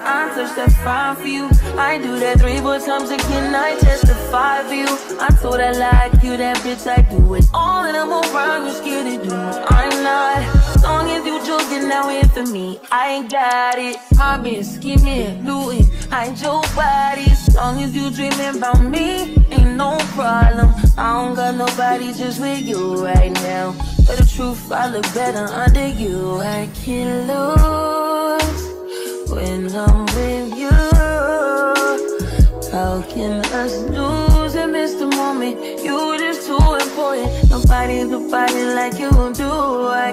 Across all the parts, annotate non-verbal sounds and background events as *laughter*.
I touch that fire for you. I do that three more times again. I testify for you. I told I lie, you, that bitch. I do it all, and I'm around. You're scared to do it. I'm not. As long as you joking, now here for me. I ain't got it. I've been scheming, looting, hide your body. As long as you dreaming about me, ain't no problem. I don't got nobody just with you right now. But the truth, I look better under you. I can lose when I'm with you. How can us lose and miss the You just too important. Nobody's nobody like you do. I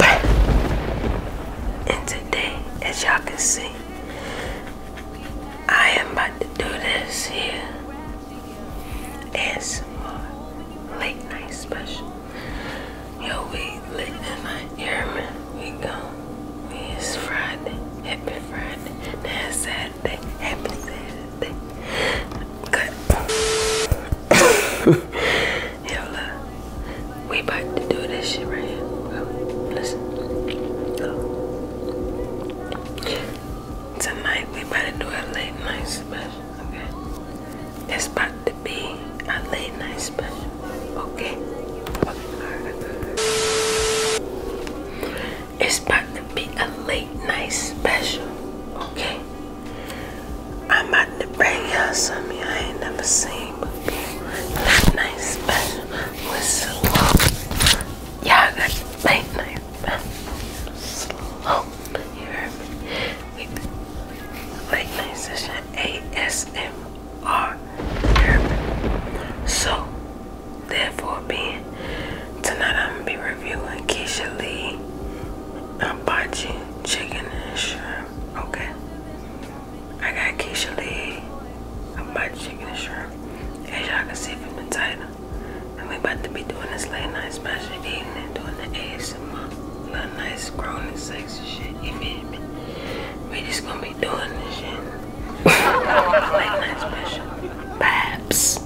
And today, as y'all can see, I am about to do this here as more late night special. Yo, we lit in my hear me? We go. We it's Friday. Happy Friday. it's Saturday. Happy Saturday. Good. *laughs* Hell, we about to do this shit right here. listen. Oh. Tonight we about to do a late night special, okay? It's about to be a late night special, okay? It's about to be a late night special, okay? I'm about to y'all something I ain't never seen before. Late night special with Slope. Y'all got the late night special. Slope. You heard me? We late night session ASMR. You heard me? So, therefore being, tonight I'm going to be reviewing Keisha Lee Abachi Chicken and Shrimp. Okay? I got Keisha Lee. I'm about chicken and shrimp. As y'all can see from the title. And we about to be doing this late night special evening, and doing the ASMR. Little nice grown and sexy shit, you feel me? We just gonna be doing this shit. late night special. Babs.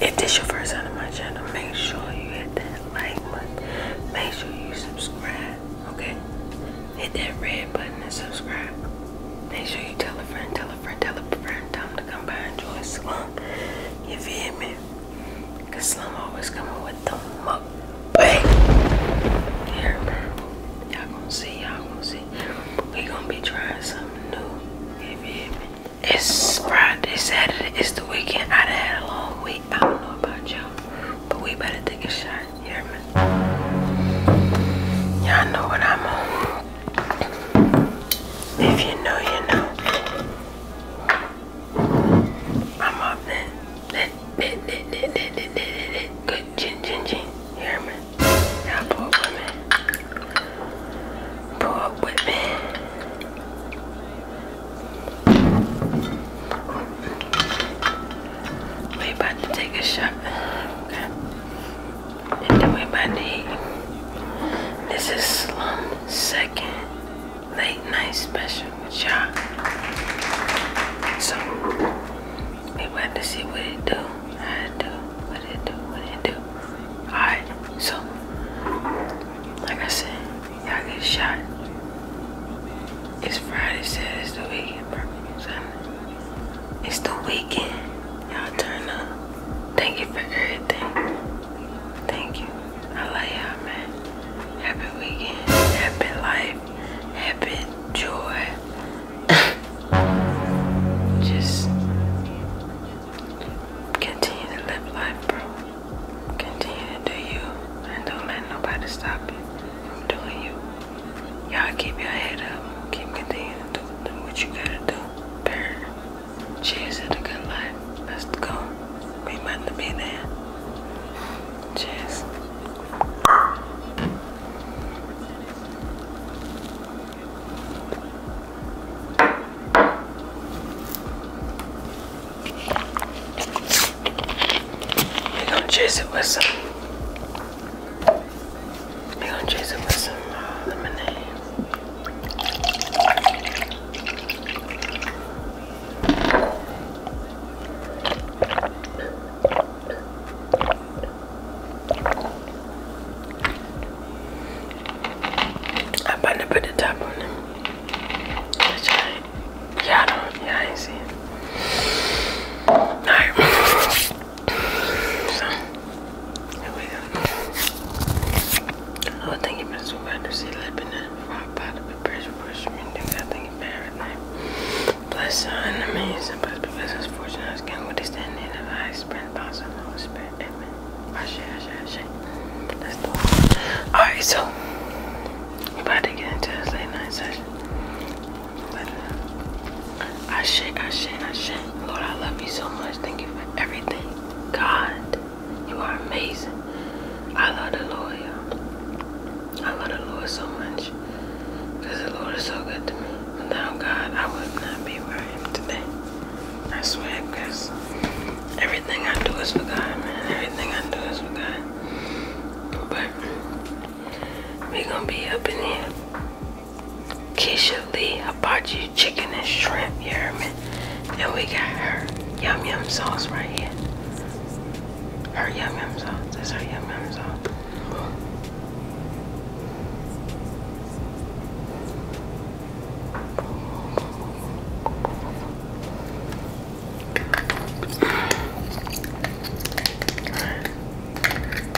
If this your first time on my channel, make sure you hit that that like button. Make sure you subscribe, okay? Hit that red button and subscribe. Make sure you tell a friend, tell a friend, tell a friend, tell them to come by and join Slum. You feel me? Cause Slum always coming with the muck. Bang! Here, y'all gonna see, y'all gonna see. We gonna be trying something new. You feel me? It's Friday, Saturday, it's the weekend. I done had a long week. I don't know but we better take a shot. You hear all know what I'm on. If you know, you know. I'm up good chin chin chin. pull up with me. Pull up with me. We about to take a shot. Okay. And then we about to eat. This is um, Second Late Night Special with y'all. So, we about to see what it do, how it do, what it do, what it do. Alright, so, like I said, Y'all get shot. It's Friday, so it's the weekend, bro. It's the weekend. Y'all turn up. Thank you for everything. Thank you. I love y'all, man. Happy weekend. Happy life. Happy joy. Just continue to live life, bro. Continue to you and don't let nobody stop you from doing you. Y'all keep your head up. Keep continuing doing what you gotta do. Period. Cheers to the good life. Let's go. We about to be there. Cheers. We're gonna chase it with some. we gonna chase it with some uh, lemonade. I'm about to put the top on it. Which I, yeah, I don't, yeah, I ain't seen it. Alright. so, here we go. Oh, thank you for the super under sea lip and then rock bottom pressure push me. I think it's bad everything. Bless son, amazing, bless, bless, bless, fortune, I was getting stand in the high sprint, boss, and Amen. Ashe, ashe, ashe. Alright, so about to get into this late night session. Ashe, ashe, ashe. Lord, I love you so much. Thank you for everything. God, you are amazing. I love the Lord, y'all. I love the Lord so much. Because the Lord is so good to me. Without God, I would not be where I am today. I swear, because everything I do is for God, man. Everything I do is for God. But we gonna be up in here. Keisha Lee Hibachi Chicken and Shrimp, you heard me? And we got her yum yum sauce right here. Her yum yum sauce. That's her yum yum sauce.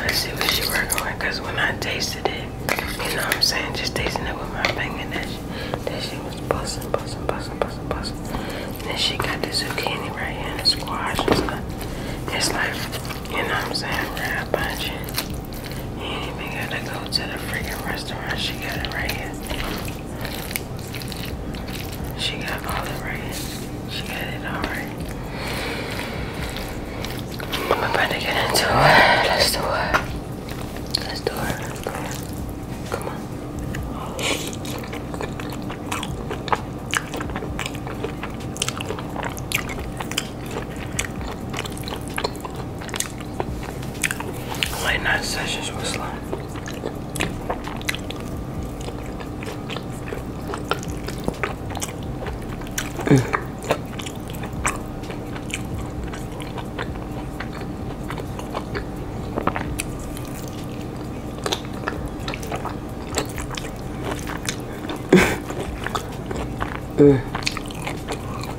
Let's see what she working with, cause when I tasted it, you know what I'm saying, just tasting it with my finger, that she, that she was busting, busting, busting, busting, busting. And then she got the zucchini right here and the squash and stuff. It's like, you know what I'm saying, right bunch. You ain't even gotta go to the freaking restaurant. She got it right here. She got all it right here. She got it all right. I'm about to get into it. Let's do it. Let's do it. Come on. Late night sessions with Slim. *laughs* Mm. mm.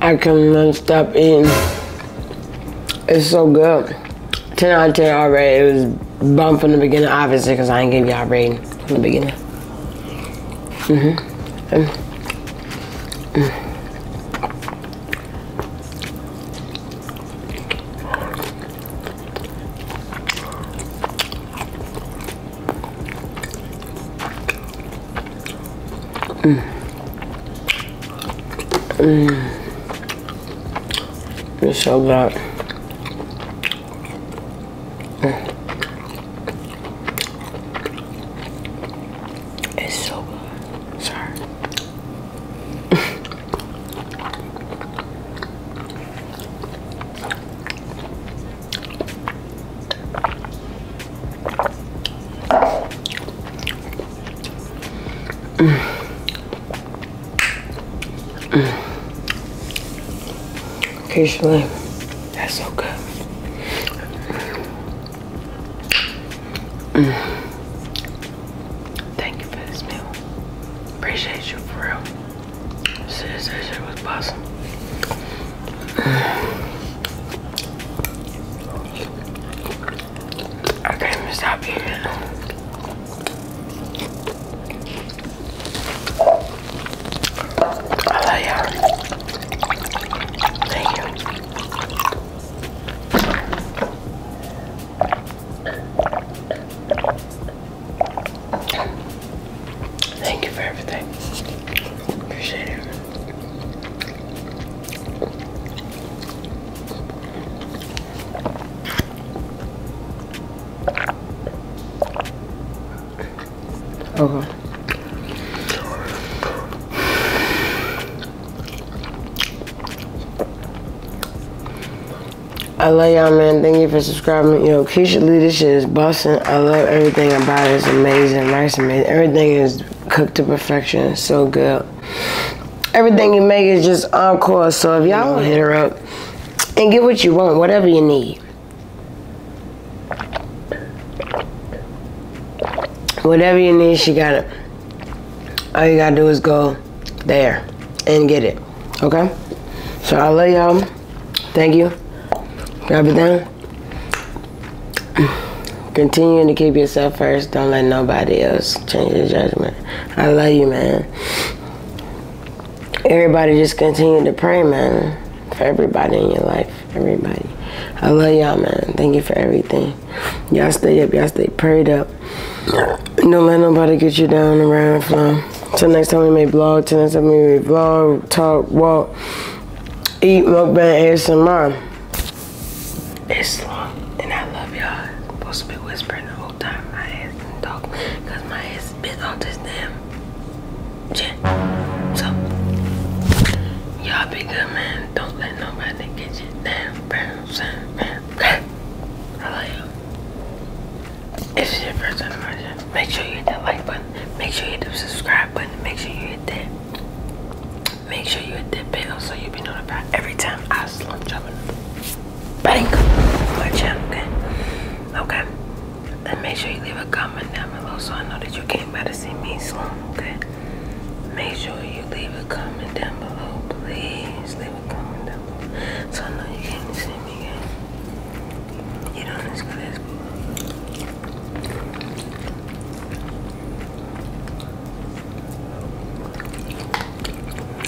I can not stop eating. It's so good. 10 out of 10 already. It was bummed from the beginning, obviously, because I didn't give y'all rating from the beginning. -hmm. Mm. Mm. It's so good. It's so good. Sorry. *laughs* Occasionally, that's so good. Mm. Thank you for this meal. Appreciate you for real. Sis, was awesome. I can't stop eating I love you Thank you. Thank you for everything. Appreciate it. Okay. I love y'all, man. Thank you for subscribing. Yo, Kisha Lee, this shit is busting. I love everything about it. It's amazing. Rice amazing. Everything is cooked to perfection. so good. Everything you make is just on call. So if y'all want, hit her up and get what you want, whatever you need. Whatever you need, she got it. All you gotta do is go there and get it. Okay? So I love y'all. Thank you for everything. *clears throat* Continuing to keep yourself first. Don't let nobody else change your judgment. I love you, man. Everybody just continue to pray, man. For everybody in your life. Everybody. I love y'all, man. Thank you for everything. Y'all stay up. Y'all stay prayed up. Don't let nobody get you down around the flow. Till next time we make vlog, till next time we may vlog, talk, walk, eat, mukbang, ASMR. It's long and I love y'all. supposed to be whispering the whole time. My ass can talk because my ass bit on this damn chin. So, y'all be good, man. Don't let nobody get you down, bro. I love you if it's your first time watching, make sure you hit that like button. Make sure you hit the subscribe button. Make sure you hit that. Make sure you hit that bell so you'll be notified every time I launch up another bank my Okay. And make sure you leave a comment down below so I know that you came by to see me slum. Okay. Make sure you leave a comment down below. Please leave a comment. Down though. So I know you can't see me again. Get on this class,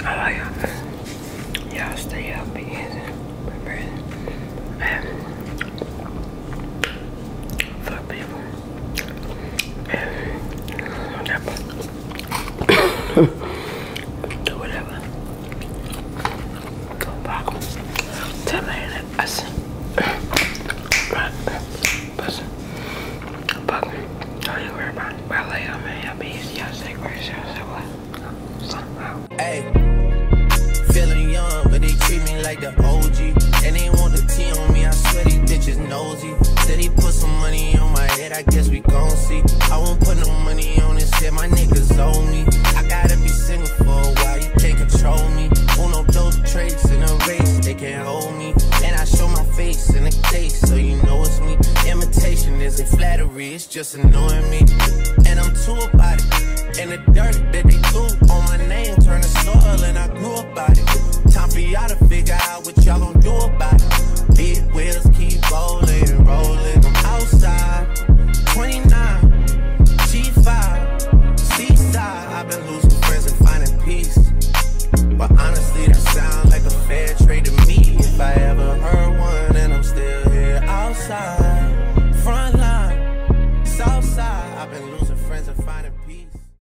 I like y'all. Y'all stay healthy and prepared. And fuck people. And that do whatever. Go back. Tell me that I said. Right. Listen. But don't you worry about it. I'll be easy. I'll say grace. I'll what? Hey. Feeling young, but they treat me like the OG. And they want the tea on me. I swear these bitches nosy. Said he put some money on my head. I guess we gon' see. I won't put no money on this shit, my niggas own me. I gotta be single for a while, you can't control me. Uno, those traits in a race, they can't hold me. And I show my face in a case, so you know it's me. Imitation isn't flattery, it's just annoying me. And I'm too about it. And the dirt that they threw on my name turned to soil, and I grew about it. Time for y'all to figure out what y'all gonna do about it? Big wheels keep rolling, rolling. I'm outside, 29, G5, seaside. I've been losing friends and finding peace. But honestly, that sounds like a fair trade to me. If I ever heard one, and I'm still here outside, front line, south side. I've been losing friends and finding peace.